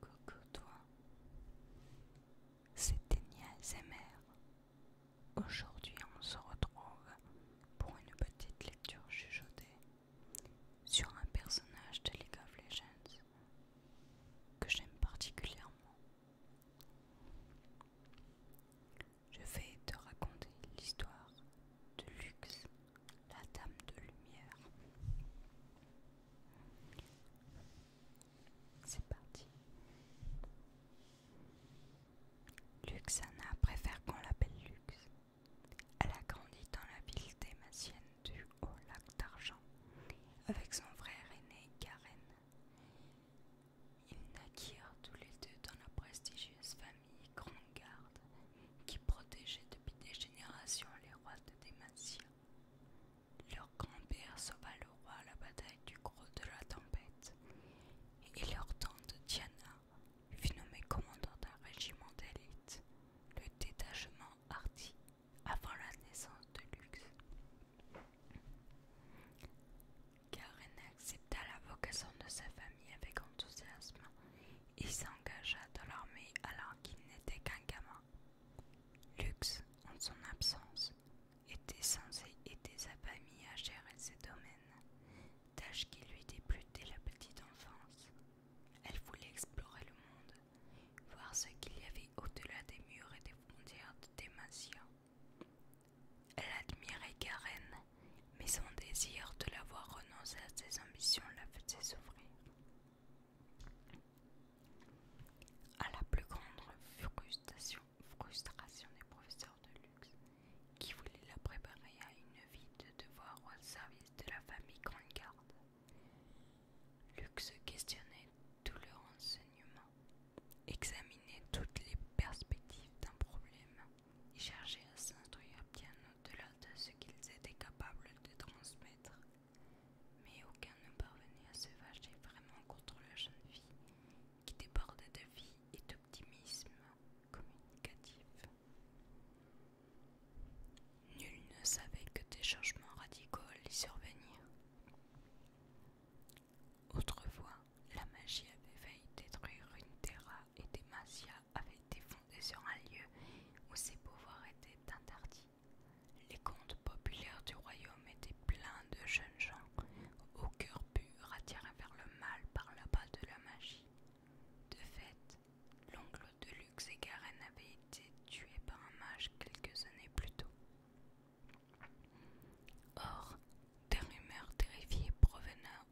Coucou toi, c'est c'était Zemmer. Aujourd'hui on se retrouve pour une petite lecture chuchotée sur un personnage de League of Legends que j'aime particulièrement. Je vais te raconter l'histoire de Lux la dame de lumière. C'est parti. Luxana préfère qu'on l'appelle Lux. Elle a grandi dans la ville dématienne du Haut Lac d'Argent avec son frère aîné Karen. Ils naquirent tous les deux dans la prestigieuse famille Grand Garde qui protégeait depuis des générations les rois de leur grand-père sauva le roi à la bataille du gros de la tempête, et leur tante Diana fut nommée commandant d'un régiment d'élite, le détachement Hardy, avant la naissance de Lux. Karen accepta la vocation de sa famille avec enthousiasme il s'engagea dans l'armée alors qu'il n'était qu'un gamin. Lux, en son absence, était censé aider sa famille à gérer ses domaines, tâche qui lui déplut dès la petite enfance. Elle voulait explorer le monde, voir ce qu'il y avait au-delà des murs et des frontières de Démasia. Elle admirait Karen, mais son désir de l'avoir voir à ses ambitions la faisait souffrir. À la plus grande frustration, frustration des professeurs de luxe, qui voulaient la préparer à une vie de devoir au service de la famille Grande Garde, Luxe questionnait tout leur renseignement, examinait toutes les perspectives d'un problème et cherchait à s'instruire bien au-delà de ce qu'ils étaient capables de transmettre mais aucun ne parvenait à se vager vraiment contre la jeune fille qui débordait de vie et d'optimisme communicatif. Nul ne savait que des changements radicaux allaient survenir. Autrefois, la magie avait failli détruire une Terra et des masias avait été fondée sur un lieu où ses pouvoirs étaient interdits. Les contes populaires du royaume étaient pleins de jeunes gens au cœur pur attirés vers le mal par bas de la magie. De fait, l'oncle de Lux et Garenne avait été tué par un mage quelques années plus tôt. Or, des rumeurs terrifiées provenaient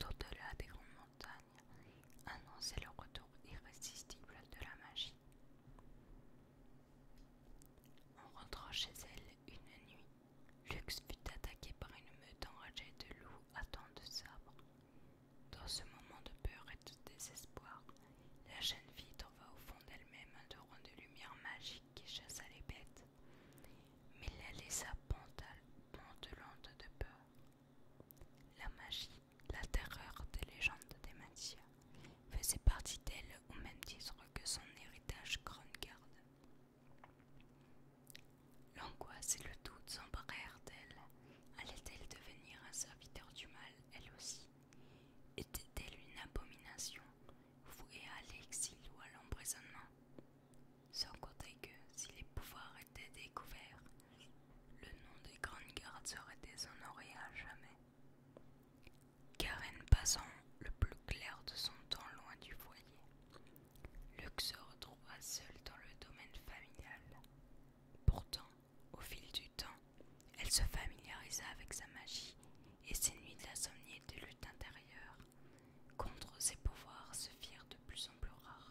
d'au-delà des grandes montagnes annonçait le retour irrésistible de la magie. En rentrant chez elle une nuit, Lux fut attaqué par une meute enragée de loups à temps de sabre. Dans ce moment de peur et de désespoir, la jeune fille trouva au fond d'elle-même un torrent de lumière magique qui chassa les bêtes, mais la laissa pantelante de peur. La magie, la terreur des légendes des Matias, faisait partie d'elle au même titre que son héritage garde. L'angoisse et le doute s'emparèrent d'elle. Allait-elle devenir un serviteur du mal, elle aussi Était-elle une abomination, vouée à l'exil ou à l'emprisonnement Sans compter que, si les pouvoirs étaient découverts, le nom des grandes gardes serait déshonoré à jamais. Karen passant le plus clair de son temps loin du foyer, Luc se retrouva seul dans le domaine familial. Pourtant, au fil du temps, elle se familiarisa avec sa magie et ses nuits d'insomnie et de lutte intérieure contre ses pouvoirs se firent de plus en plus rares.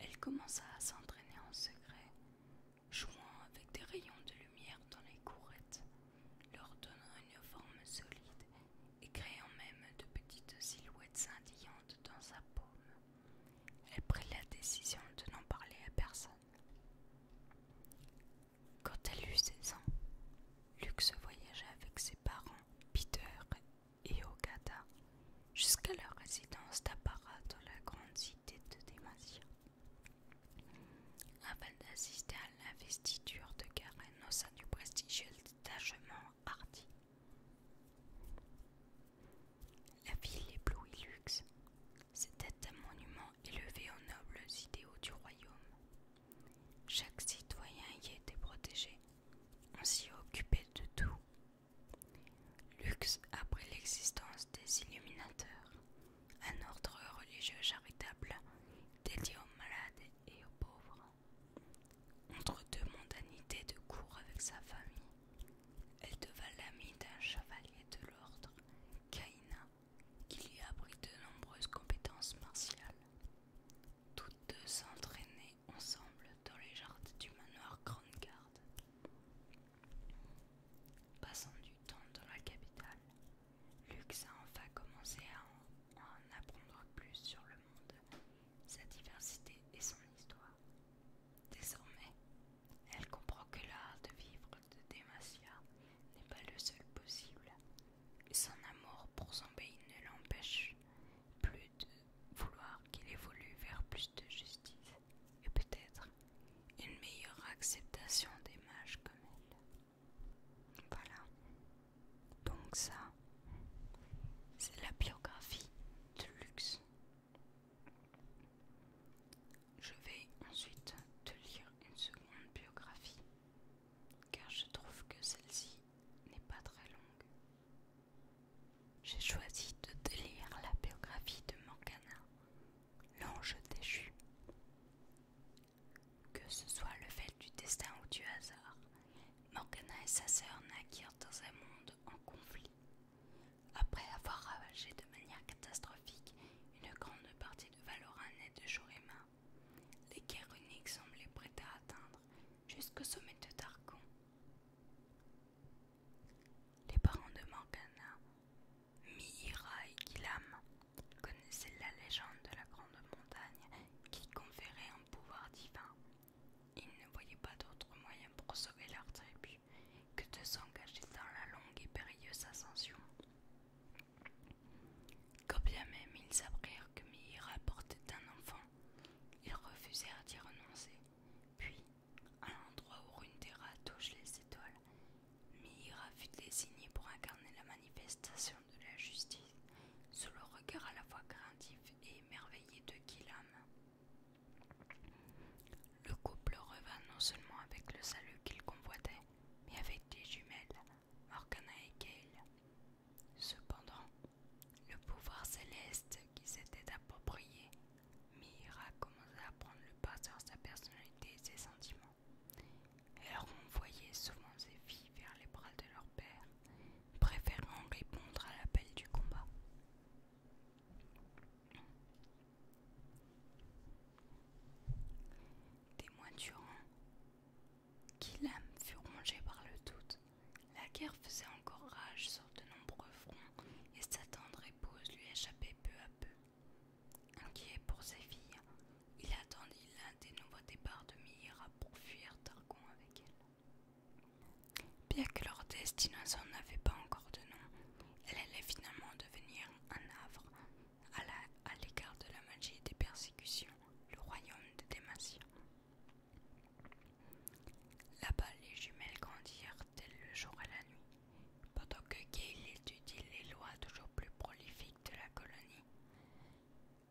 Elle commença à s'entraîner en secret, jouant avec des rayons de lumière dans les courettes, leur donnant une forme solide et créant même de petites silhouettes scintillantes dans sa paume. Elle prit la décision de n'en parler à personne. Quand elle eut 16 ans, Lux voyagea avec ses parents, Peter et Ogata, jusqu'à leur résidence d'apparat dans la grande cité de Demacia. Avant d'assister à l'investiture de Karen au sein du prestigieux détachement Hardy. La ville éblouit luxe. C'était un monument élevé aux nobles idéaux du royaume. Chaque citoyen y était protégé. On s'y occupait de tout, Lux après l'existence des Illuminateurs, un ordre religieux charitable dédié aux malades et aux pauvres. Entre deux mondanités de cours avec sa famille, elle devint l'amie d'un chevalier de l'ordre, Kaina, qui lui apprit de nombreuses compétences martiales. Toutes deux s'entraînaient ensemble dans les jardins du manoir Grande passant du temps dans la capitale. Lux a enfin commencé à en, apprendre plus sur le monde, sa diversité et son histoire. Désormais, elle comprend que l'art de vivre de Demacia n'est pas le seul possible. Son amour pour son pays ne l'empêche plus de vouloir qu'il évolue vers plus de justice et peut-être une meilleure acceptation des mages comme elle. Voilà. Donc ça, c'est la biographie de Luxe. Je vais ensuite te lire une seconde biographie, car je trouve que celle-ci n'est pas très longue. J'ai choisi de lire la biographie de Morgana, l'ange déchu. Que ce soit le fait du destin ou du hasard, Morgana et sa sœur naquirent dans un monde en conflit. Après avoir ravagé de manière catastrophique une grande partie de Valoran et de Jorima, les guerres uniques semblaient prêts à atteindre jusqu'au sommet de Targon. Les parents de Morgana, Mihira et kilam connaissaient la légende de la grande montagne qui conférait un pouvoir divin. Ils ne voyaient pas d'autre moyen pour sauver leur tribu que de s'engager dans la longue et périlleuse ascension. Quand bien même ils apprirent que Mihira portait un enfant, ils refusèrent d'y renoncer. Puis, à l'endroit où une rats touche les étoiles, Mira fut désignée pour incarner la manifestation de la justice sous le regard à la fois craintif et émerveillé de Kilam. Le couple revint non seulement avec le salut qu'il convoitait, mais avec des jumelles, Morgana et Gael. Cependant, le pouvoir céleste qui s'était approprié Mira commença à prendre le pas sur sa personnalité et ses sentiments. Elle renvoyait souvent ses filles vers les bras de leur père, préférant répondre à l'appel du combat. Des qui fut rongé par le doute. La guerre faisait encore rage sur de nombreux fronts et sa tendre épouse lui échappait peu à peu. Inquiet pour ses filles, il attendit l'un des nouveaux départs de Mihira pour fuir Targon avec elle. Bien que leur destination avait pas encore de nom, elle allait finalement devenir un havre à l'écart de la magie et des persécutions, le royaume des Dématiens. Là-bas, les jumelles grandirent tels le jour et la nuit, pendant que Gail étudie les lois toujours plus prolifiques de la colonie.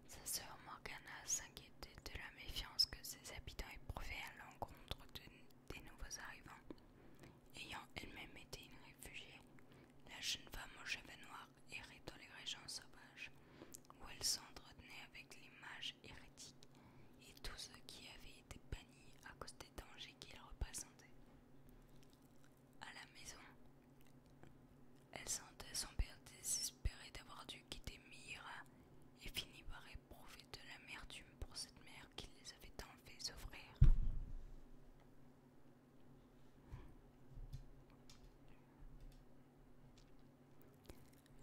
Sa sœur Morgana s'inquiétait de la méfiance que ses habitants éprouvaient à l'encontre des nouveaux arrivants. Ayant elle-même été une réfugiée, la jeune femme aux cheveux noirs Hérit dans les régions sauvages, où elles s'entretenaient avec les mages hérétiques et tous ceux qui avaient été bannis à cause des dangers qu'ils représentaient. À la maison, elle sentait son père désespéré d'avoir dû quitter Mira et finit par éprouver de l'amertume pour cette mère qui les avait tant fait souffrir.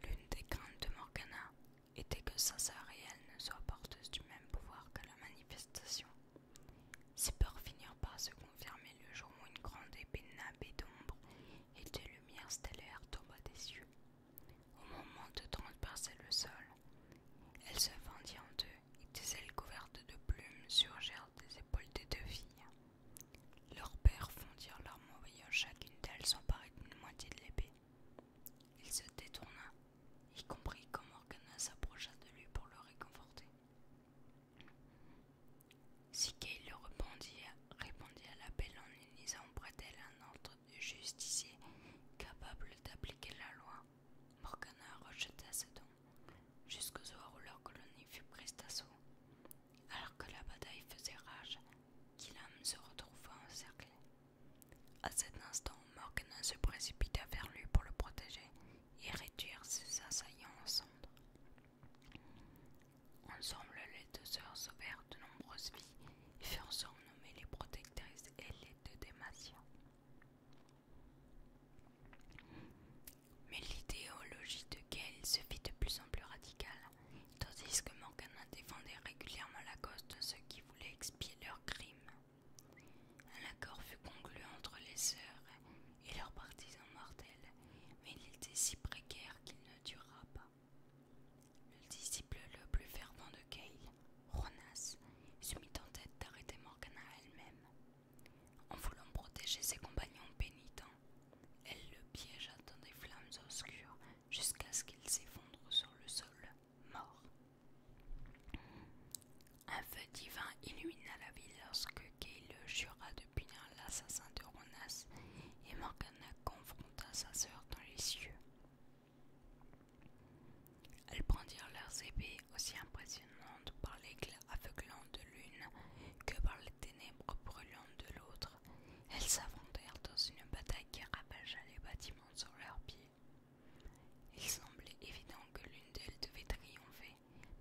L'une des craintes de Morgana était que sa sœur et elle ne soient porteuses du même pouvoir que la manifestation. Ces peurs finirent par se confirmer le jour où une grande épée nabée d'ombre et de lumière stellaires tomba des yeux. Au moment de transpercer le sol, elle se fendit en deux et des ailes couvertes de plumes surgèrent des épaules des deux filles. Leurs pères fondirent leurs moyens voyant chacune d'elles s'emparer d'une moitié de l'épée. Il se détourna, y compris quand Morgana s'approcha de lui pour le réconforter. Si le répondit, répondit à l'appel en unisant auprès d'elle un ordre de justicier capable d'appliquer la loi. Morgana rejeta ce don, jusqu'au soir où leur colonie fut prise alors que la bataille faisait rage, Killam se retrouva encerclé. À cet instant, Morgan se précipita vers lui pour le protéger et réduire ses assaillants en cendres. Ensemble, les deux sœurs sauvèrent de nombreuses vies et furent surnommées les protectrices et les deux démasions. Mais l'idéologie de Gale se fit de plus en plus radicale, tandis que Morgana défendait régulièrement la cause de ceux qui voulaient expier leurs crimes. Un accord fut conclu entre les sœurs et leurs partisans mortels, mais il était si précaire qu'il ne dura pas. Le disciple le plus fervent de Gale, Ronas, se mit en tête d'arrêter Morgana elle-même. En voulant protéger ses compagnons pénitents, elle le piégea dans des flammes obscures jusqu'à ce qu'il s'effondre sur le sol, mort. Un feu divin illumina la ville lorsque Kay le jura de punir l'assassin de Ronas et Morgana confronta sa sœur dans les cieux. Elles prendirent leurs épées aussi impressionnantes par l'éclat aveuglant de l'une que par ténèbres brûlantes de l'autre, elles s'aventèrent dans une bataille qui ravagea les bâtiments sur leurs pieds. Il semblait évident que l'une d'elles devait triompher,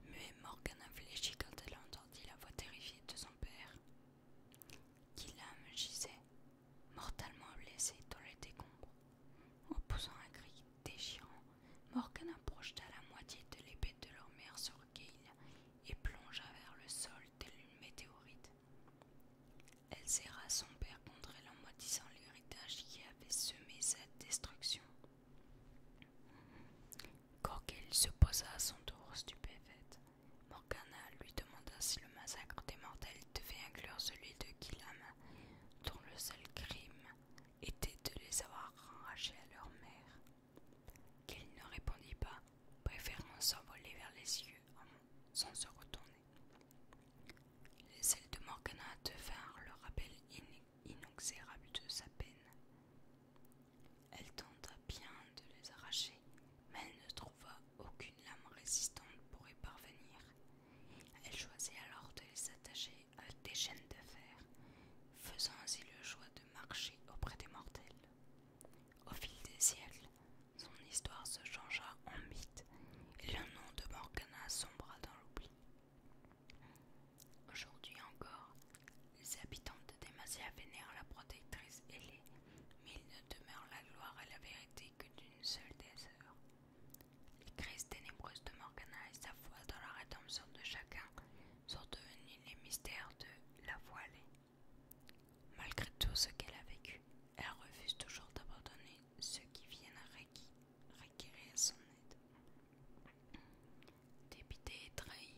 mais Morgana fléchit quand elle entendit la voix terrifiée de son père, qui gisait, mortellement blessé dans les décombres. En poussant un cri déchirant, Morgana projeta la moitié de l'épée de leur mère sur Gail et plongea vers le sol telle une météorite. Elle serra son père contre elle en maudissant l'héritage qui avait semé cette destruction. Coquille se posa à son tour stupéfaite. Morgana lui demanda si le massacre des mortels devait inclure celui de kilama dont le seul crime était de les avoir arrachés à leur mère. Qu'elle ne répondit pas, préférant s'envoler vers les yeux sans se retourner. Les ailes de Morgana devinrent le rappel inoxérable de sa peine. Elle tenta bien de les arracher, mais elle ne trouva aucune lame résistante pour y parvenir. Elle choisit alors de les attacher à des chaînes de fer faisant ainsi le choix de marcher auprès des mortels. Au fil des siècles, son histoire se changea en mythe et le nom de Morgana sombra dans l'oubli. Aujourd'hui encore, les habitants de Demacia vénèrent la protectrice ailée, mais il ne demeure la gloire et la vérité que d'une seule des heures. Les crises ténébreuses de Morgana et sa foi dans la rédemption de chacun sont devenus les mystères de la voilée. Malgré tout ce qu'elle a vécu, elle refuse toujours d'abandonner ceux qui viennent requérir son aide. Dépitée et trahie,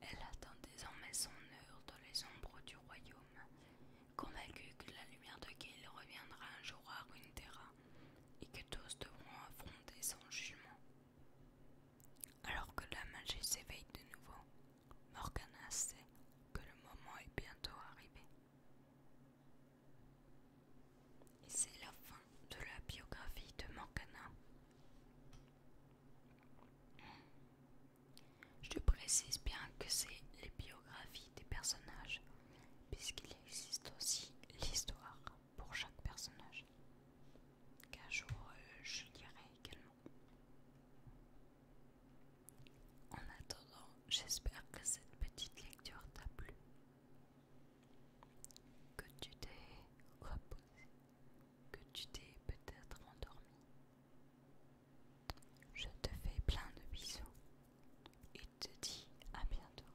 elle attend désormais son heure dans les ombres du royaume, convaincue que la lumière de Gale reviendra un jour à terra et que tous devront affronter son jugement. Alors que la magie s'éveille de nouveau, Morgana sait que le moment est bientôt arrivé. Et c'est la fin de la biographie de Morgana. Je précise bien que c'est les biographies des personnages, puisqu'il existe aussi l'histoire pour chaque personnage qu'un jour euh, je lirai également. En attendant, j'espère que cette petite lecture t'a plu, que tu t'es reposé, que tu t'es peut-être endormi. Je te fais plein de bisous et te dis à bientôt.